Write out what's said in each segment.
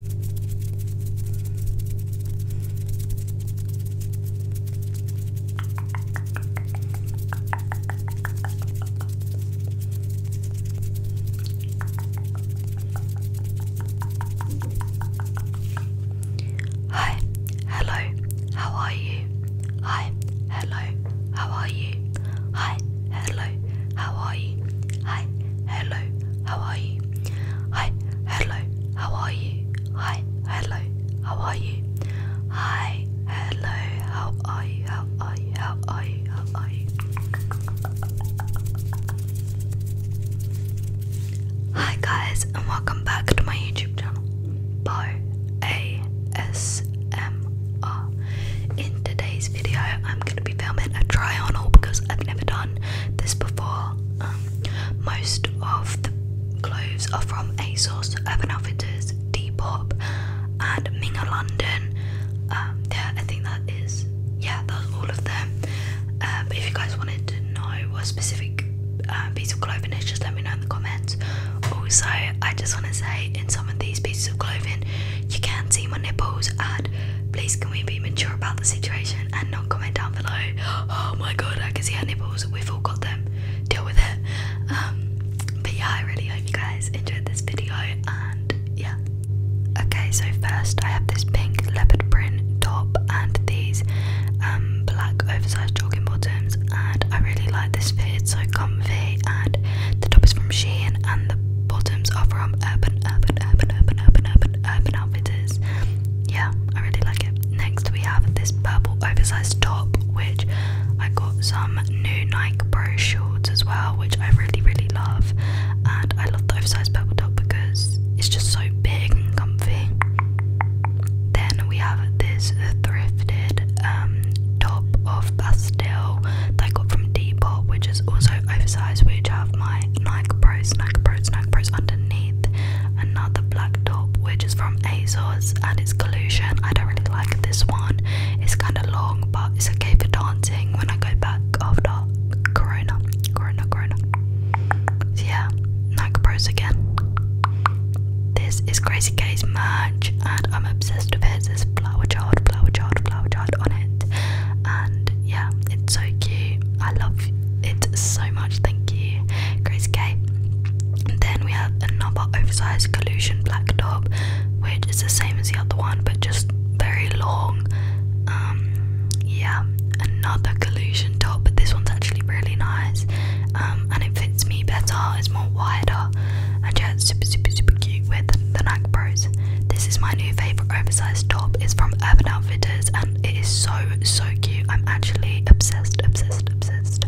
Hi, hello, how are you? Hi, hello, how are you? Hi, hello, how are you? Hi, hello, how are you? Hi, hello, how are you? Hi, hello, how are you? Hi, hello, how are you? How are you? How are you? How are you? Hi guys and welcome back to my YouTube channel. Bo ASMR. In today's video, I'm going to be filming a try on haul because I've never done this before. Um, most of the clothes are from ASOS, Urban Outfitters, Depop, and Minga London. Um, yeah, I think that is, yeah, that's all of them. but um, if you guys wanted to know what specific piece of clothing is, just let me know in the comments. Also, I just want to say in some of these pieces of clothing, you can not see my nipples and please can we be mature about the situation and not comment down below. Oh my god, I can see her nipples. We've all got them. Deal with it. Um, but yeah, I really hope you guys enjoyed this video and yeah. Okay, so first I have this pink leopard print top and these um, black oversized jogging bottoms and I really like this fit it's so comfy, and the top is from Shein, and the bottoms are from Urban, Urban, Urban, Urban, Urban, Urban, Urban Outfitters. Yeah, I really like it. Next, we have this purple oversized top, which I got some new Nike Pro shorts as well, which I really, really love. And I love the oversized purple top because it's just so big and comfy. Then we have this thrifted um, top of Bath pastel that I got from Depop, which is also oversized, which have my Nike Pros, Nike Pros, Nike Pros underneath. Another black top, which is from ASOS, and it's collusion. I don't really like this one. It's kind of long, but it's okay for dancing when I go back after Corona, Corona, Corona. So yeah, Nike Pros again. This is Crazy K's merch, and I'm obsessed with it. There's flower child, flower child, flower child on it, and yeah, it's so cute. I love it so much. Thank you, Crazy K. And then we have another oversized collusion black top, which is the same as the other one, but just very long. Um, yeah, another collusion top, but this one's actually really nice. Um, and it fits me better, it's more wider, and yeah, it's super, super, super cute with the Nike Pros. This is my new favourite oversized top, it's from Urban Outfitters, and it is so, so cute. I'm actually obsessed, obsessed, obsessed.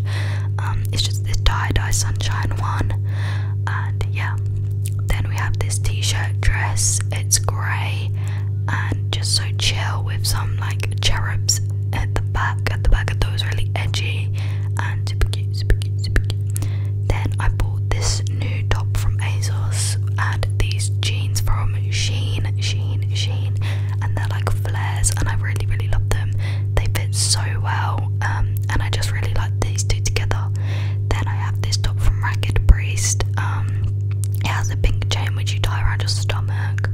Um, it's just this tie dye sunshine one, and yeah. Then we have this t shirt dress, it's grey and just so chill with some like cherubs at the back, at the back of those really edgy and super cute, super cute, super cute. Then I bought this new top from ASOS and these jeans from Sheen, Sheen, Sheen, and they're like flares, and I really, really love them. They fit so well, um, and I just really like these two together. Then I have this top from Ragged Priest. Um, it has a pink chain which you tie around your stomach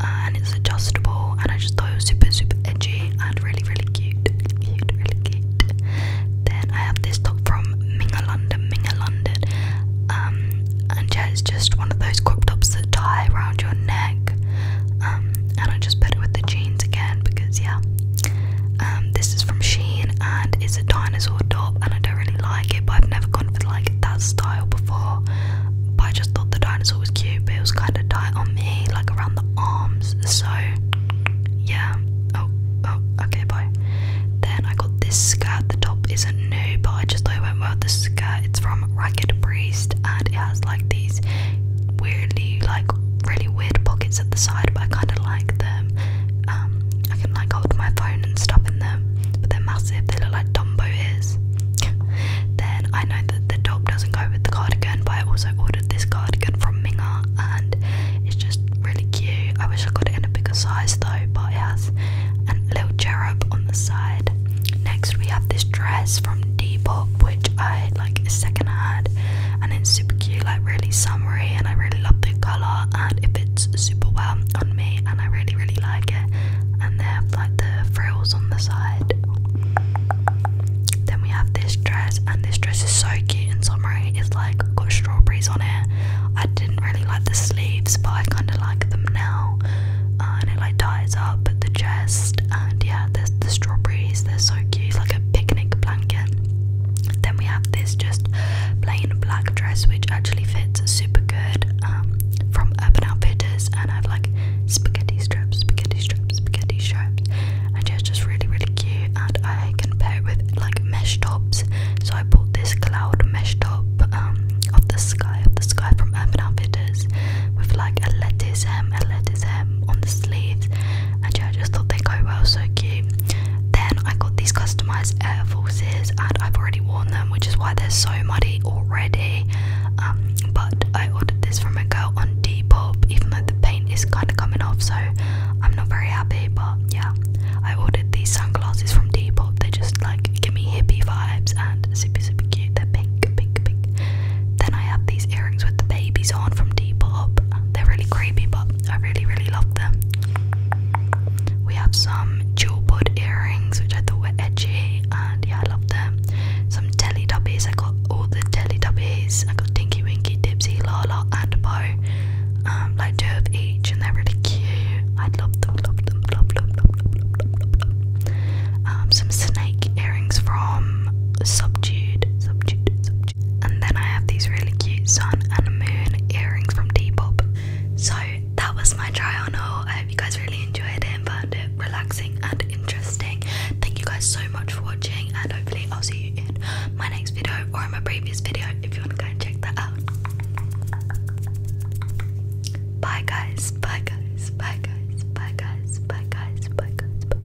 and it's adjustable and I just thought it was super super edgy and really really cute then I have this top from Minga London Minga London um, and yeah it's just one of those crop tops that tie around your neck um, and I just put it with the jeans again because yeah um, this is from Sheen and it's a dinosaur top and I don't really like it but I've never like that style before, but I just thought the dinosaur was cute, but it was kind of tight on me, like around the arms. So yeah. Oh, oh, okay, bye. Then I got this skirt. The top isn't new, but I just thought it went well with the skirt. It's from Ragged Priest, and it has like these weirdly, like really weird pockets at the side, but I kind of like them. Um, I can like hold my phone and stuff in them, but they're massive. They look like Tombo ears. then I know that the top doesn't go with the cardigan, but I also ordered this cardigan from Minga, and it's just really cute. I wish I got it in a bigger size though, but it has a little cherub on the side. Next, we have this dress from Depop, which I like is second hand, and it's super cute, like really summery, and I really love the color. And if fits super well on me and I really really like it and they have like the frills on the side then we have this dress and this dress is so cute in summer. it's like got strawberries on it I didn't really like the sleeves but I kind of like them now uh, and it like ties up at the chest and yeah the strawberries they're so cute like a picnic blanket then we have this just plain black dress, which actually fits super good um, from Urban Outfitters, and I have like spaghetti straps, spaghetti straps, spaghetti straps, and yeah, it's just really, really cute. And I can pair it with like mesh tops, so I bought this cloud mesh top um, of the sky, of the sky from Urban Outfitters, with like a lettuce hem, a lettuce on the sleeves and yeah, I just thought they go well, so cute. Then I got these customized Air Forces, and I've already worn them, which is why they're so muddy already. Um, but I ordered this from a girl on Depop, even though the paint is kind of coming off, so I'm not very happy. But yeah, I ordered these sunglasses from Depop. They just like give me hippie vibes and super super cute. They're pink, pink, pink. Then I have these earrings with the babies on from Depop. They're really creepy, but I really, really love them. We have some jewel bud earrings, which I thought were edgy, and yeah, I love them. Some Teletubbies, I got all the Teletubbies. I got Dinky Winky, Dipsy, Lala, and Bo. Um, like two of each, and they're really cute. I love them, love them, love, love, love, love, love, love, um, some snake earrings from Subdued, Subdued, Subdued watch. And then I have these really cute sun and moon earrings from Depop. So that was my try on haul. I hope you guys really enjoyed it and found it relaxing and interesting. Thank you guys so much for watching, and hopefully, I'll see you in my next video or in my previous video if you want to go and check that out. Bye, guys. Bye, guys. Bye, guys. Bye, guys. Bye, guys. Bye, guys. Bye.